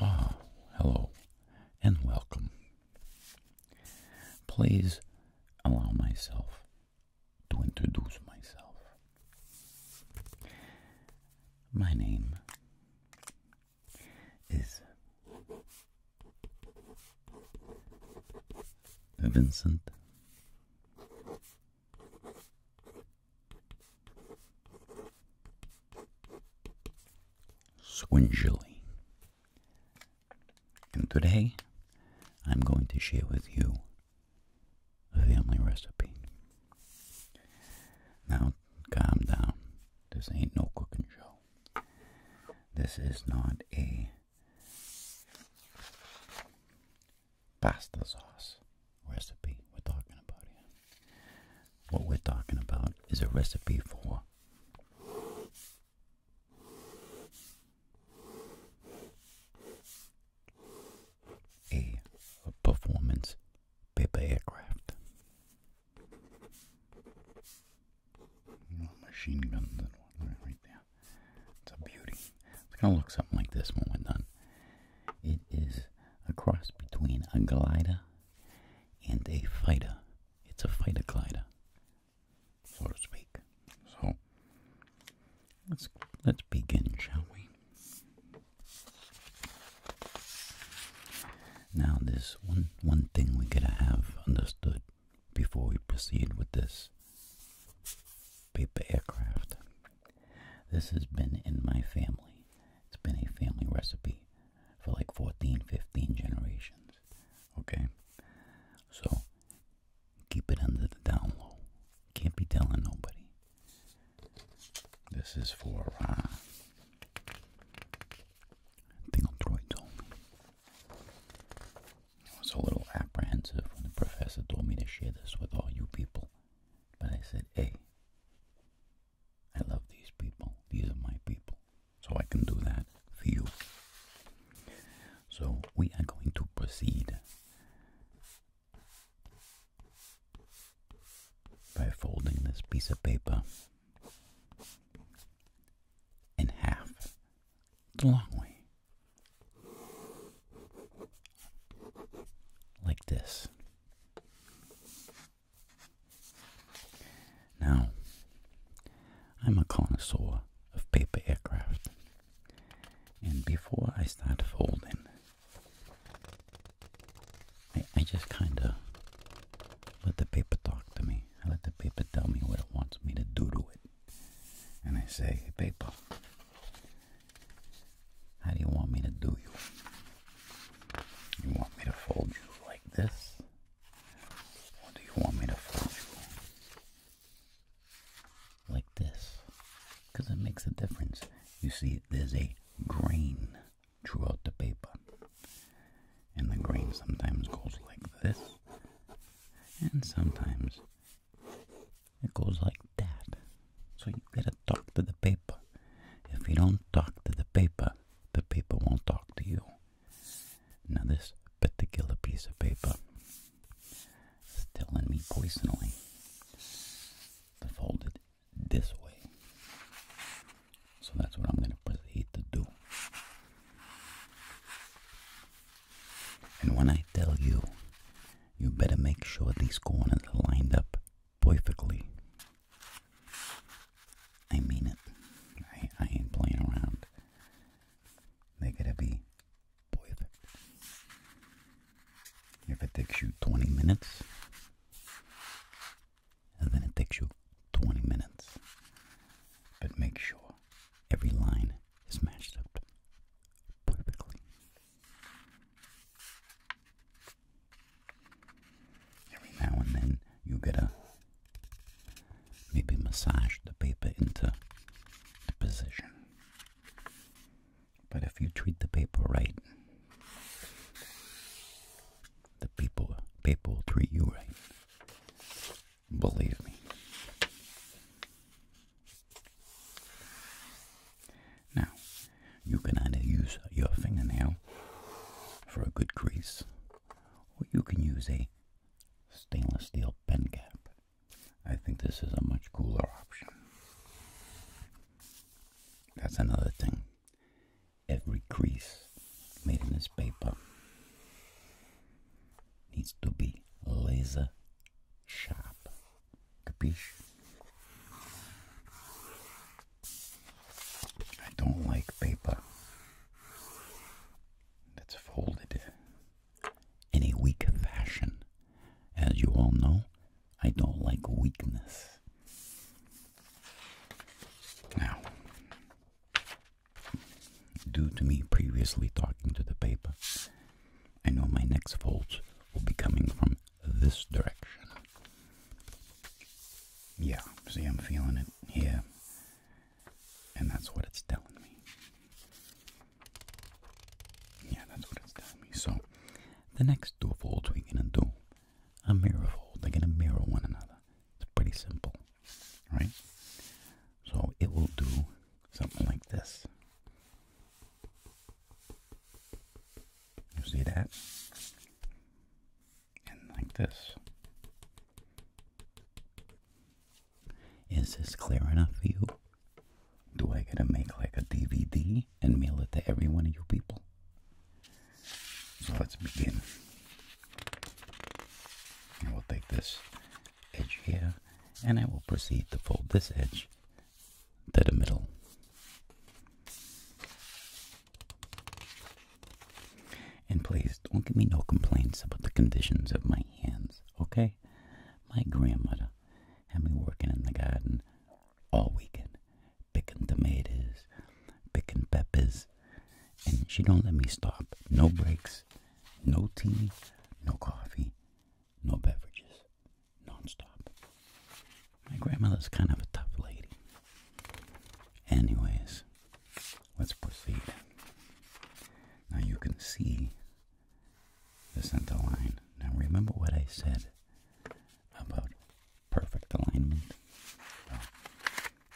Ah, hello, and welcome. Please allow myself to introduce myself. My name is Vincent. Swingelly. And today I'm going to share with you a family recipe. Now, calm down. This ain't no cooking show. This is not a pasta sauce recipe we're talking about here. What we're talking about is a recipe for a performance paper aircraft machine gun right there. It's a beauty. It's gonna look something like this when we're done. It is a cross between a glider and a fighter. It's a fighter glider, so to speak. So let's let's begin, shall we? Now, this one one thing we gotta have understood before we proceed with this paper aircraft. This has been in my family. It's been a family recipe for like 14, 15 generations. Okay? So, keep it under the down low. Can't be telling nobody. This is for uh, Dingle Droids only. I was a little apprehensive when the professor told me to share this with all you people, but I said, hey, I love these people. These are my people. So I can do that for you. So we are going to proceed by folding this piece of paper in half. It's a long way like this. Now, I'm a connoisseur of paper aircraft, and before I start folding, I, just kind of let the paper talk to me. I let the paper tell me what it wants me to do to it and I say, paper, how do you want me to do you? You want me to fold you like this? Or do you want me to fold you like this? Because it makes a difference. You see, there's a grain throughout the paper. And the grain sometimes goes like this, and sometimes it goes like that. So you gotta talk to the paper. If you don't talk to the paper, the paper won't talk to you. Now this particular piece of paper is telling me personally to fold it this way. So that's what I'm gonna proceed to do. And when I tell you, you better make sure these corners are lined up perfectly. I mean it. I, ain't playing around. They gotta be perfect. If it takes you 20 minutes, then it takes you 20 minutes. But make sure every line is up perfectly. Every now and then you get a maybe massage the paper into a position. But if you treat the paper right, the people paper will treat you right. Believe me. Now, you can either use your fingernail for a good crease, or you can use a stainless steel pen cap. I think this is a much cooler option. That's another thing. Every crease made in this paper needs to be laser sharp. Capiche? I don't like paper that's folded in a weak fashion. As you all know, I don't like weakness. Now, due to me previously talking to the paper, I know my next fold will be coming from this direction. Yeah, see, I'm feeling it here, and that's what it's telling me. Yeah, that's what it's telling me. So, the next two folds we're gonna do a mirror fold. They're gonna mirror one another. It's pretty simple, right? So it will do something like this. You see that? And like this. Is this clear enough for you? Do I gotta make like a DVD and mail it to every one of you people? So let's begin. we'll take this edge here, and I will proceed to fold this edge to the middle. And please don't give me no complaints about the conditions of my hands, okay? My grandmother had me working in the garden all weekend, picking tomatoes, picking peppers, and she don't let me stop. No breaks, no tea, no coffee, no beverages, non My grandmother's kind of a tough lady. Anyways, let's proceed. Now you can see the center line. Now remember what I said about perfect alignment?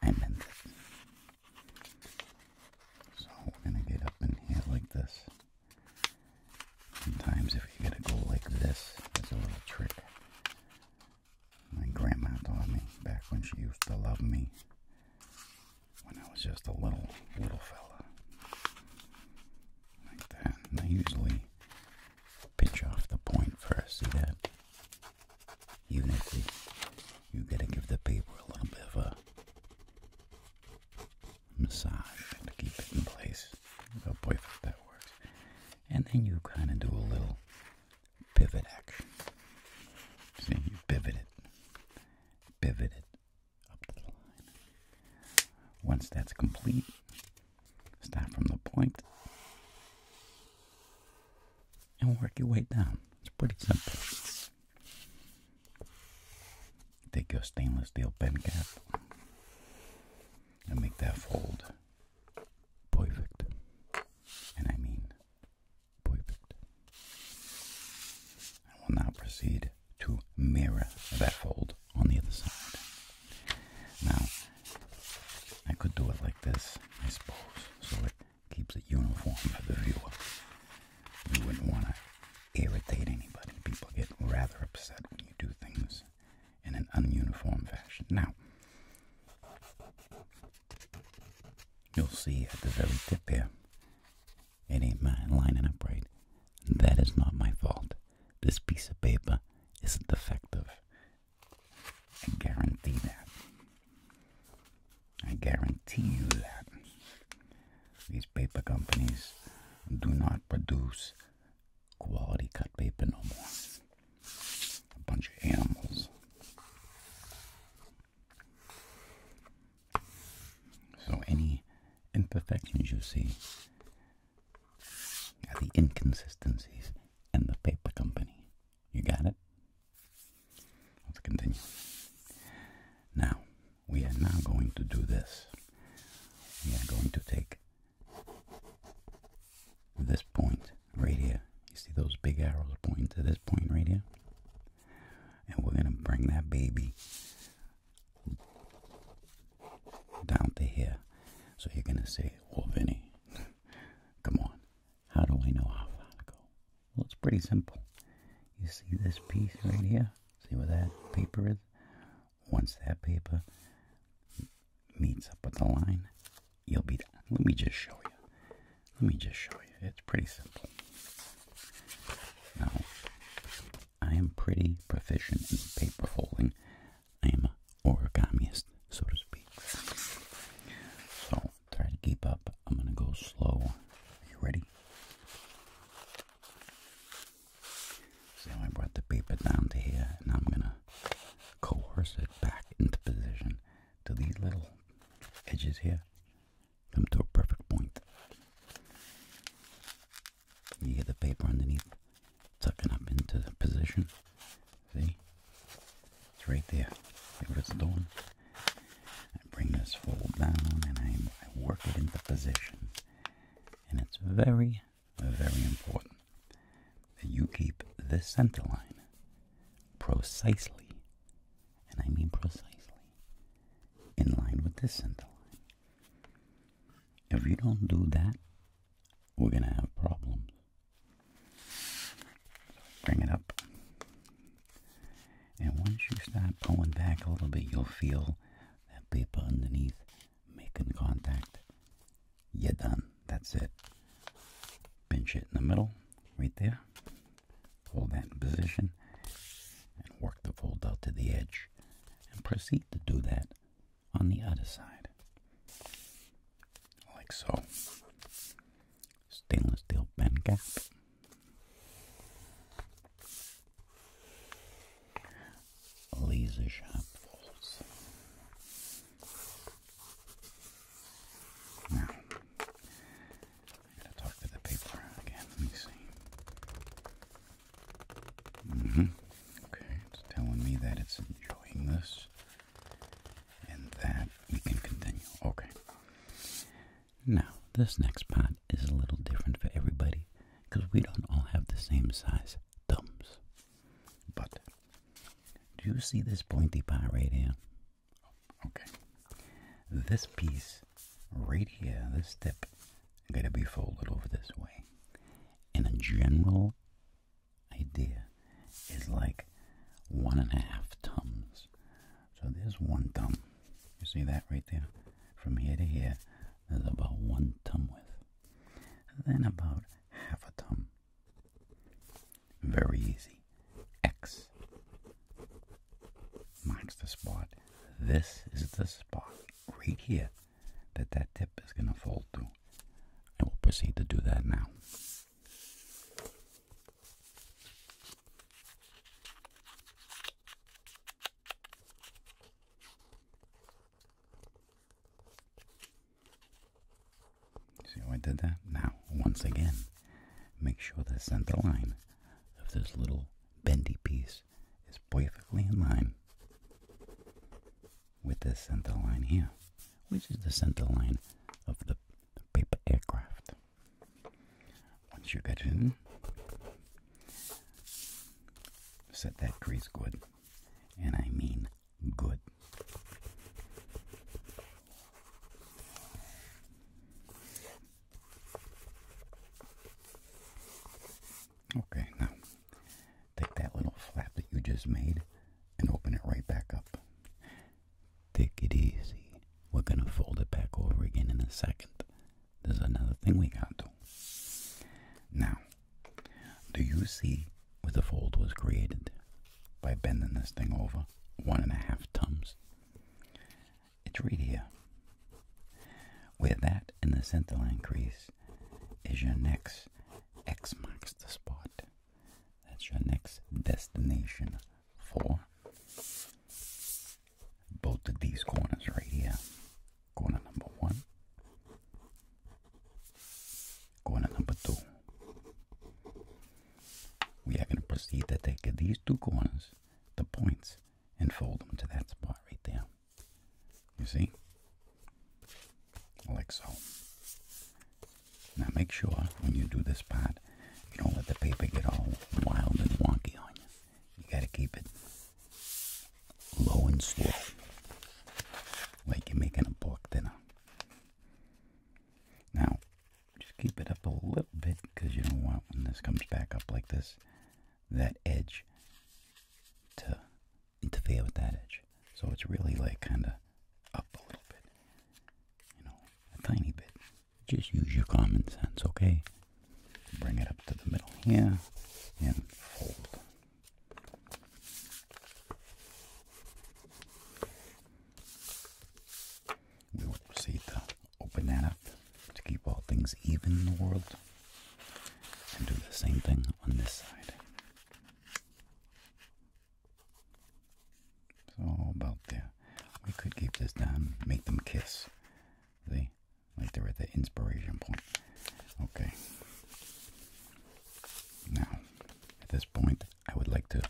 I meant it. So we're going to get up in here like this. Sometimes if you get going to go like this, there's a little trick. My grandma taught me back when she used to love me when I was just a little, little fella. Like that. And I usually pinch off the point first. See that? Even if you, you gotta give the paper a little bit of a massage to keep it in place. Oh boy, that works. And then you kind of do a little pivot action. See, you pivot it, pivot it up the line. Once that's complete, start from the point and work your way down. It's pretty simple. Take your stainless steel pen cap and make that fold perfect. And I mean perfect. I will now proceed to mirror that fold on the other side. Now, I could do it like this, I suppose, so it keeps it uniform for the viewer. You wouldn't want to irritate anybody. People get rather upset when you do things in an ununiform fashion. Now, you'll see at the very tip here, it ain't mine lining up right. That is not my fault. This piece of paper is defective. I guarantee that. I guarantee you that. These paper companies do not produce quality cut paper no more. A bunch of animals. So any imperfections you see are the inconsistencies in the paper company. You got it? Let's continue. Now, we are now going to do this. We are going to take this point right here. You see those big arrows pointing to this point right here? And we're going to bring that baby down to here. So you're going to say, well, Vinny, come on. How do I know how far to go? Well, it's pretty simple. You see this piece right here? See where that paper is? Once that paper meets up with the line, you'll be done. Let me just show you. Let me just show you. It's pretty simple. Now, I am pretty proficient in paper folding. I am an origamiist, so to speak. So, try to keep up. I'm going to go slow. Are you ready? So I brought the paper down to here, and I'm gonna coerce it back into position till these little edges here come to a perfect point. You get the paper underneath tucking up into position. See? It's right there. See what it's doing? I bring this fold down and I work it into position. And it's very, very important that you keep this center line precisely, and I mean precisely, in line with this center line. If you don't do that, we're going to have problems. Bring it up. And once you start pulling back a little bit, you'll feel that paper underneath, making contact. You're done. That's it. Pinch it in the middle, right there. Hold that in position and work the fold out to the edge. And proceed to do that on the other side. Like so. Stainless steel pen cap laser sharp falls. Now, i to talk to the paper again. Let me see. Mm -hmm. Okay, it's telling me that it's enjoying this and that we can continue. Okay. Now, this next part is a little different for everybody because we don't all have the same size thumbs. But do you see this pointy part right here? Oh, okay. This piece right here, this tip, gotta be folded over this way. And a general idea is like one and a half thumbs. So there's one thumb. You see that right there? From here to here, is about one thumb width, then about half a thumb. Very easy. X marks the spot. This is the spot right here that that tip is going to fold to. And we'll proceed to do that now. See how I did that? Now, once again, make sure the center line of this little bendy piece is perfectly in line with the center line here, which is the center line of the paper aircraft. Once you get in, Set that grease good. And I mean good. Okay, now take that little flap that you just made and open it right back up. Take it easy. We're going to fold it back over again in a second. There's another thing we got to. Now, do you see where the fold was created by bending this thing over one and a half times? It's right here. Where that and the centerline crease is your next X marks the spot. That's your next destination for both of these corners right here corner number one, corner number two. We are going to proceed to take these two corners, the points, and fold them to that spot right there. You see? Like so. Now make sure when you do this part, you don't let the paper get all wild and wonky on you you got to keep it low and slow, like you're making a block dinner. Now, just keep it up a little bit because you don't want when this comes back up like this, that edge to interfere with that edge. So it's really like kind of up a little bit, you know, a tiny bit. Just use your common sense, okay? bring it up to the middle here and fold. We will proceed to open that up to keep all things even in the world and do the same thing on this side. So about there. We could keep this down, make them kiss. See? Like they're at the inspiration point. Okay. Now, at this point, I would like to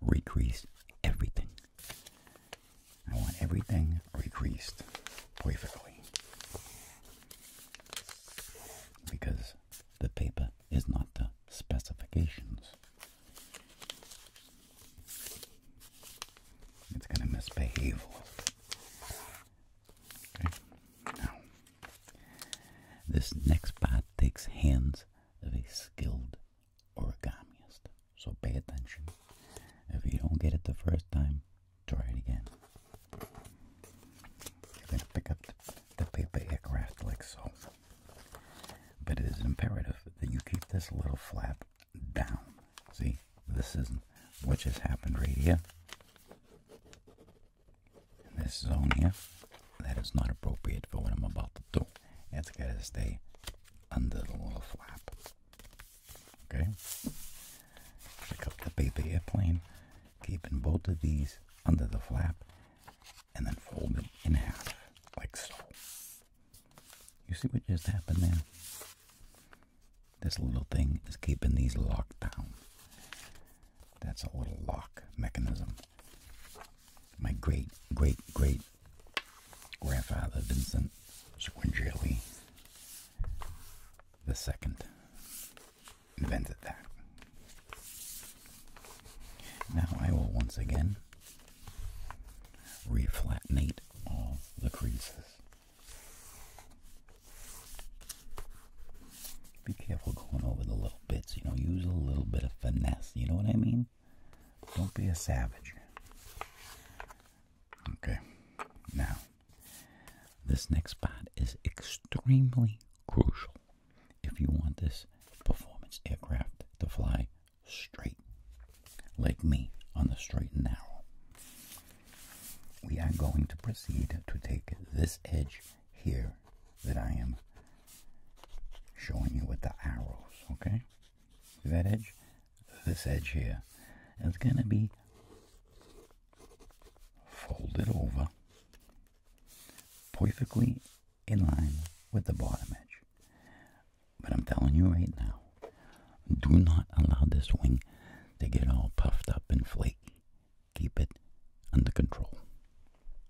recrease everything. I want everything recreased perfectly. Because the paper is not the specifications. It's going to misbehave. Now, this next part takes hands of a skilled origamiist. So pay attention. If you don't get it the first time, try it again. You're going to pick up the paper aircraft like so. But it is imperative that you keep this little flap down. See, this isn't what just happened right here in this zone here that is not appropriate for what I'm about to do. It's got to stay under the little flap. Okay? Pick up the paper airplane, keeping both of these under the flap, and then fold it in half, like so. You see what just happened there? This little thing is keeping these locked down. That's a little lock mechanism. My great, great, great grandfather, Vincent Swingeli the second invented that. Now I will once again reflattenate all the creases. Be careful going over the little bits, you know, use a little bit of finesse, you know what I mean? Don't be a savage. Okay, now, this next part is extremely crucial if you want this performance aircraft to fly straight, like me, on the straight and narrow we are going to proceed to take this edge here that I am showing you with the arrows, okay? that edge? This edge here is going to be folded over perfectly in line with the bottom edge. But I'm telling you right now, do not allow this wing to get all puffed up and flake keep it under control.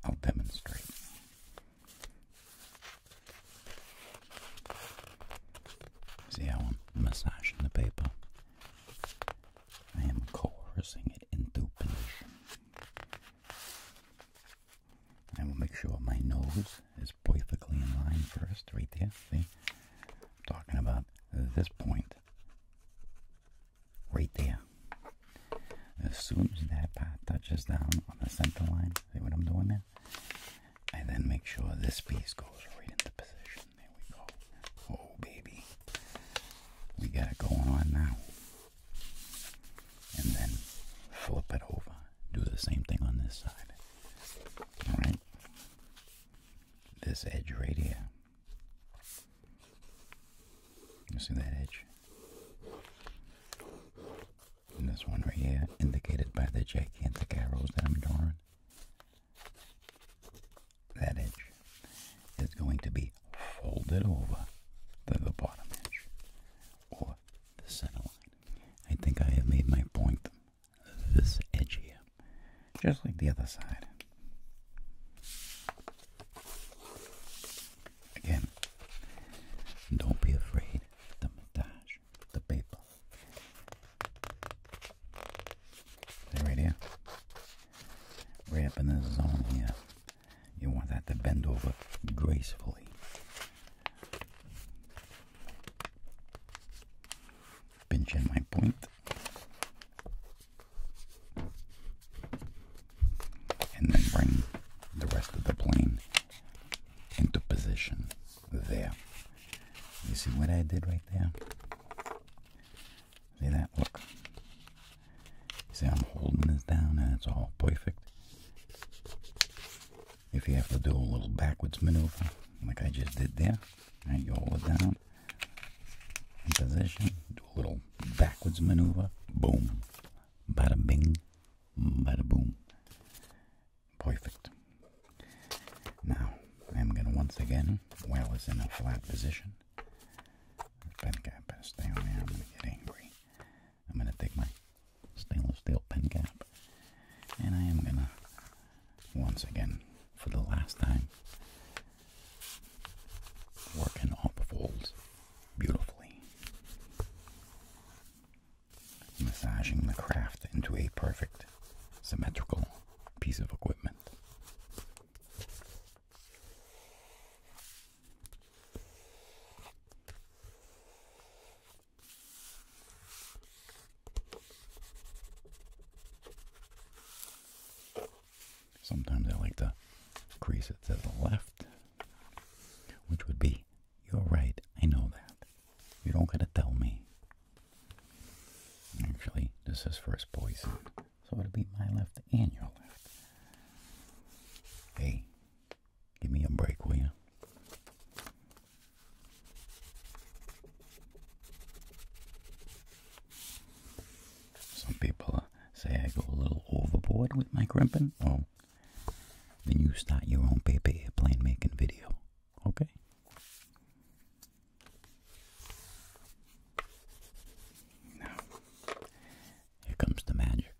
I'll demonstrate. See how I'm massaging the paper? I am coercing it into position. I will make sure my nose is perfectly in line first, right there. See? I'm talking about this point Right there. As soon as that part touches down on the center line, see what I'm doing there? I then make sure this piece goes right into position. There we go. Oh, baby. We got it going on now. And then flip it over. Do the same thing on this side. Alright? This edge right here you see that edge? this one right here, indicated by the gigantic arrows that I'm drawing. That edge is going to be folded over the bottom edge or the center line. I think I have made my point. This edge here just like the other side. Again, don't be afraid the mustache, the paper. they right here. Right up in this zone here. You want that to bend over gracefully. Pinch my point and then bring the rest of the plane into position there. You see what I did right there? See that? Look. see, I'm holding this down and it's all perfect. If you have to do a little backwards maneuver, like I just did there, right, you hold it down in position, do a little backwards maneuver, boom, bada bing, bada boom. Perfect. Now, I'm going to once again, while it's in a flat position, pen cap has stay on there, I'm going to get angry. I'm going to take my stainless steel pen cap, and I am going to, once again, for the last time, working all the folds beautifully, massaging the craft into a perfect symmetrical piece of equipment. Sometimes I like to crease it to the left, which would be, you're right, I know that. You don't gotta tell me. Actually, this is first poison, so it'll be my left and your left. Hey, give me a break, will you? Some people uh, say I go a little overboard with my crimping. Oh, then you start your own paper airplane making video. Okay? Now, here comes the magic.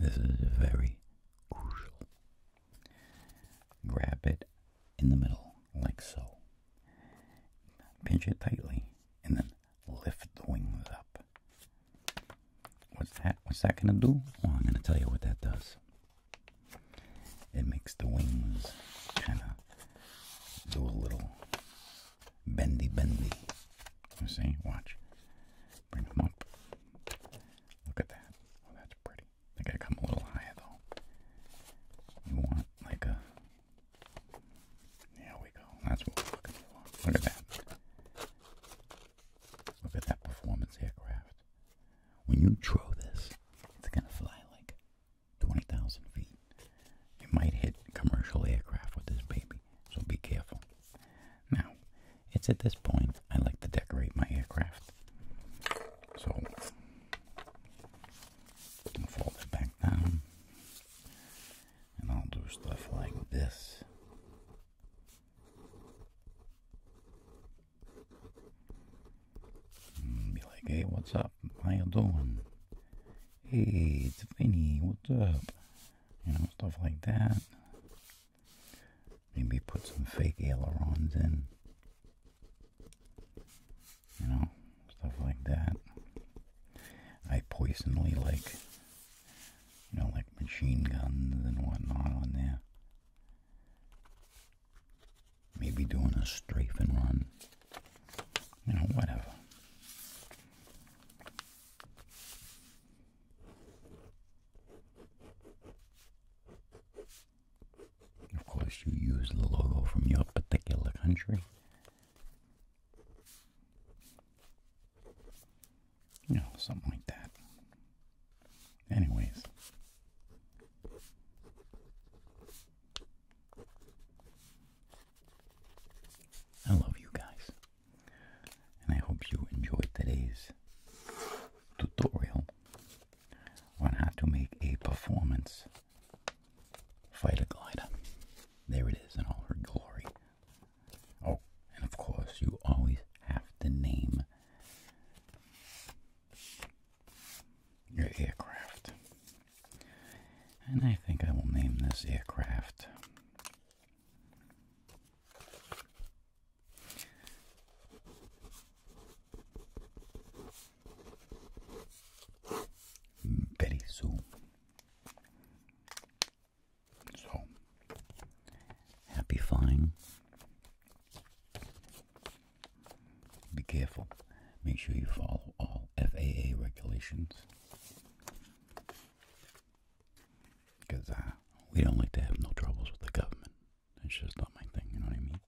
This is very crucial. Grab it in the middle, like so pinch it tightly, and then lift the wings up. What's that? What's that gonna do? Well, I'm gonna tell you what that does. It makes the wings kind of do a little bendy, bendy. You see? Watch. Bring them up. Look at that. Oh, that's pretty. They gotta come a little higher though. You want like a there we go. That's what we're looking for. Look at that. Look at that performance aircraft. When you throw this, it's going to fly like 20,000 feet. You might hit commercial aircraft with this baby, so be careful. Now, it's at this point I like to decorate my aircraft. So, and fold it back down. And I'll do stuff like this. Mm, be like, hey, what's up? How you doing? Hey, it's Vinny, what's up? You know, stuff like that. Maybe put some fake ailerons in you know, stuff like that. I poisonally like, you know, like machine guns and whatnot on there. Maybe doing a strafe and run. You know, whatever. Of course, you use the logo from your particular country. You know, something like that. Anyways. I love you guys. And I hope you enjoyed today's tutorial on how to make a performance Fighter glider. There it is in all her glory. Oh, and of course, you always have to name your aircraft. And I think I will name this aircraft Betty Sue. So, happy flying. Be careful. Make sure you follow all FAA regulations. Because uh, we don't like to have no troubles with the government. It's just not my thing, you know what I mean?